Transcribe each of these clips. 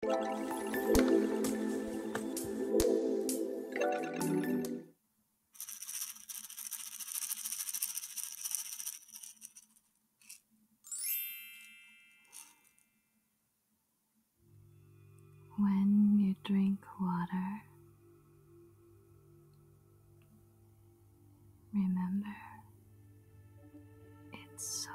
When you drink water, remember its source.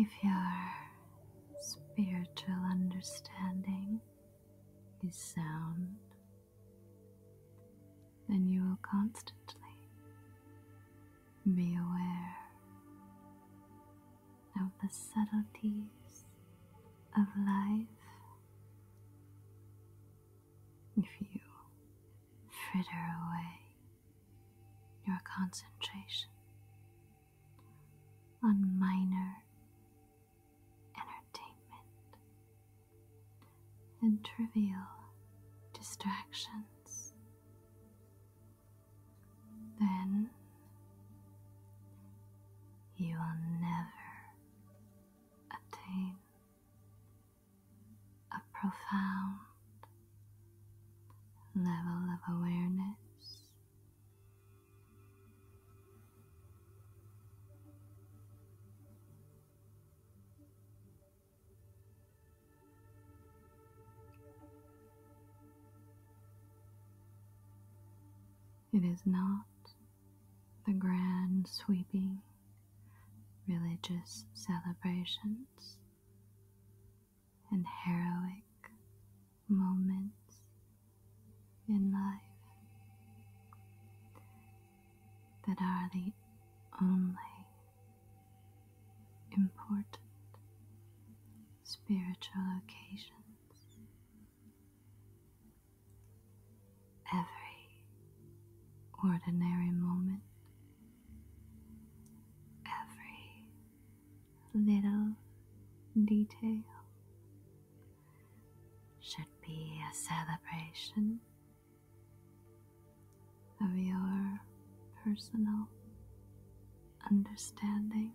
If your spiritual understanding is sound, then you will constantly be aware of the subtleties of life. If you fritter away your concentration on minor entertainment and trivial distractions, then you will never attain a profound level of awareness. It is not the grand sweeping religious celebrations and heroic moments in life that are the only important spiritual occasions. Every ordinary moment, every little detail should be a celebration of your personal understanding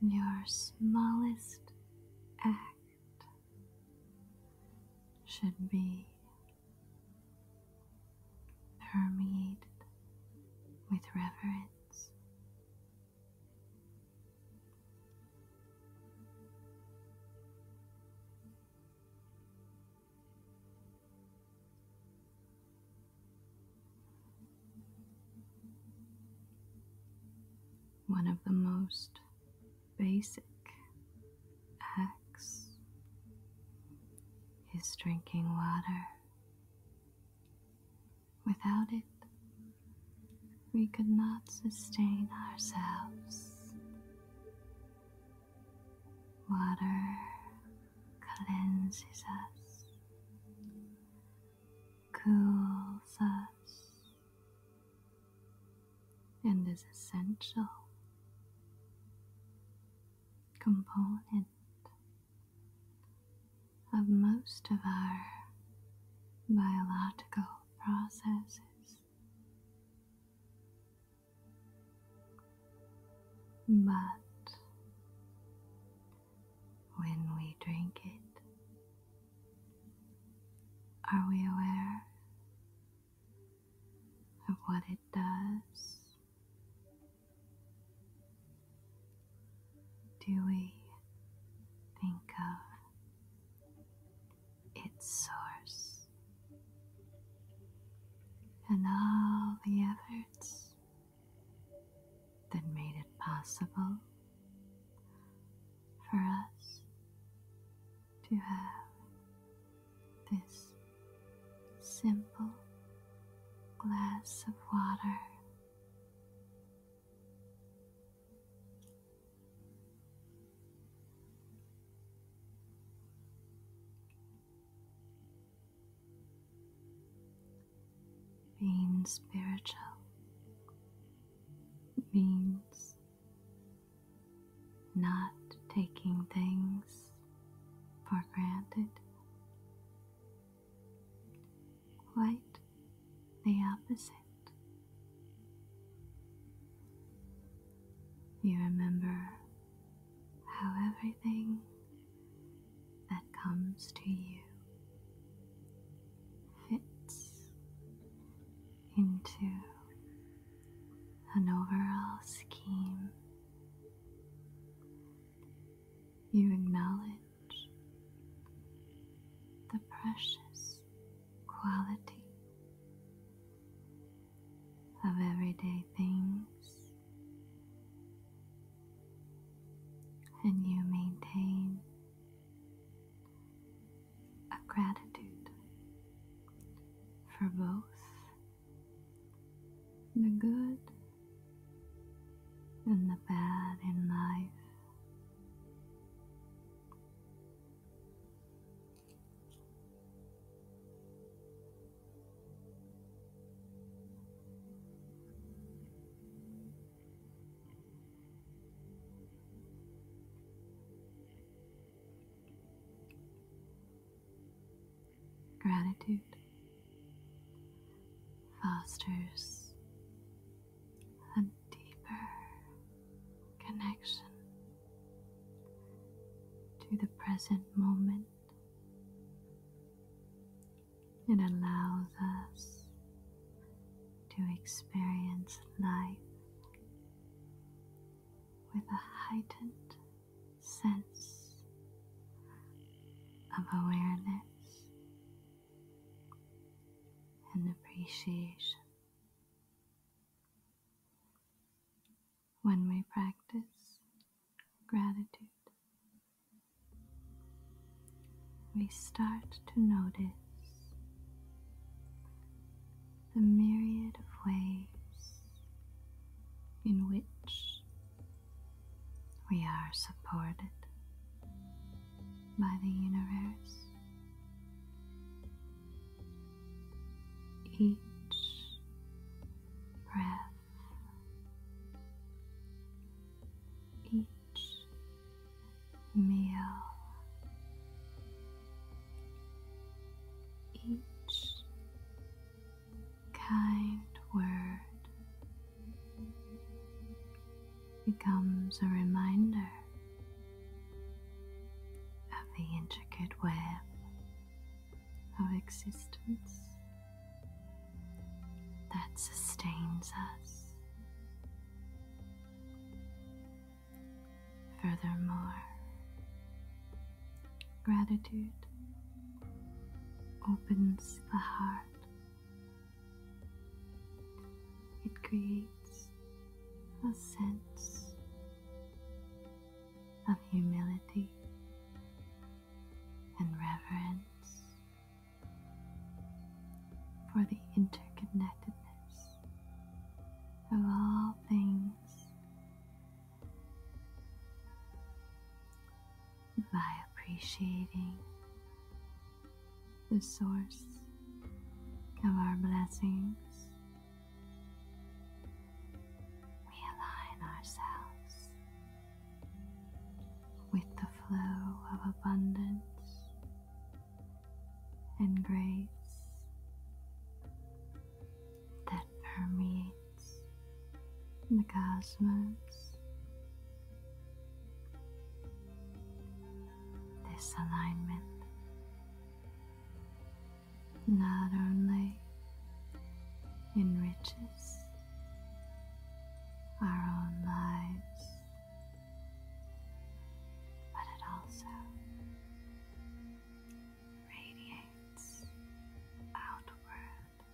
your smallest act should be permeated with reverence. One of the most basic acts is drinking water. Without it, we could not sustain ourselves. Water cleanses us, cools us, and is essential component of most of our biological processes. But when we drink it, are we aware of what it does? Do we think of its source and all the efforts that made it possible for us to have this simple glass of water. Being spiritual means not taking things for granted. Quite the opposite. You remember how everything that comes to you fits into an overall scheme. You acknowledge the precious quality of everyday things, and you maintain a gratitude for both the good and the bad in life. Gratitude fosters a deeper connection to the present moment. It allows us to experience life with a heightened sense of awareness and appreciation. When we practice gratitude. We start to notice the myriad of ways in which we are supported by the universe. Each breath each meal, each kind word becomes a reminder of the intricate web our existence that sustains us. Furthermore, gratitude opens the heart, it creates a sense of humility and reverence for the interconnectedness of all things by appreciating the source of our blessings we align ourselves with the flow of abundance and grace that permeates the cosmos. This alignment not only enriches our own lives, but it also radiates outward,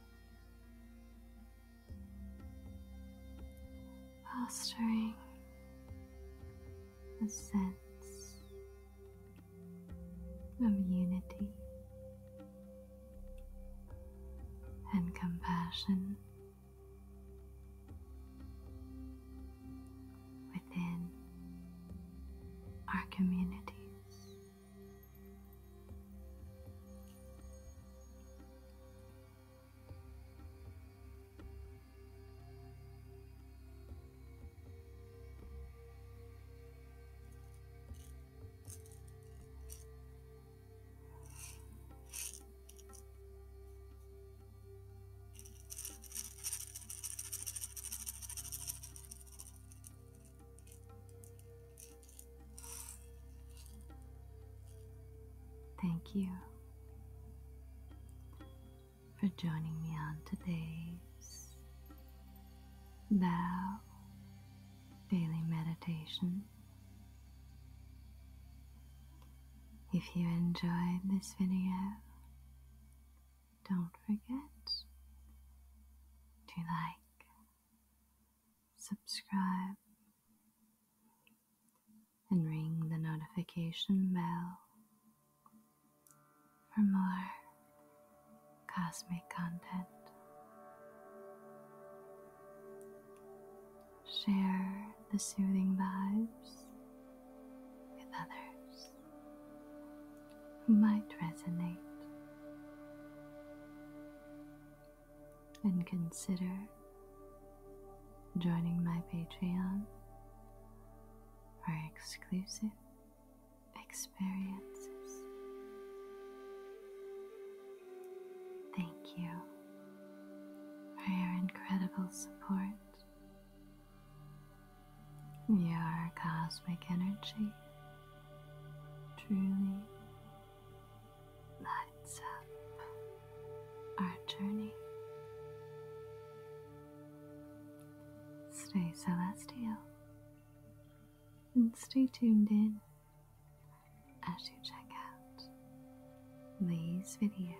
fostering a sense of unity and compassion within our communities. Thank you for joining me on today's now, daily meditation. If you enjoyed this video, don't forget to like, subscribe, and ring the notification bell for more cosmic content. Share the soothing vibes with others who might resonate. And consider joining my Patreon for exclusive experiences. Thank you for your incredible support. Your cosmic energy truly lights up our journey. Stay celestial and stay tuned in as you check out these videos.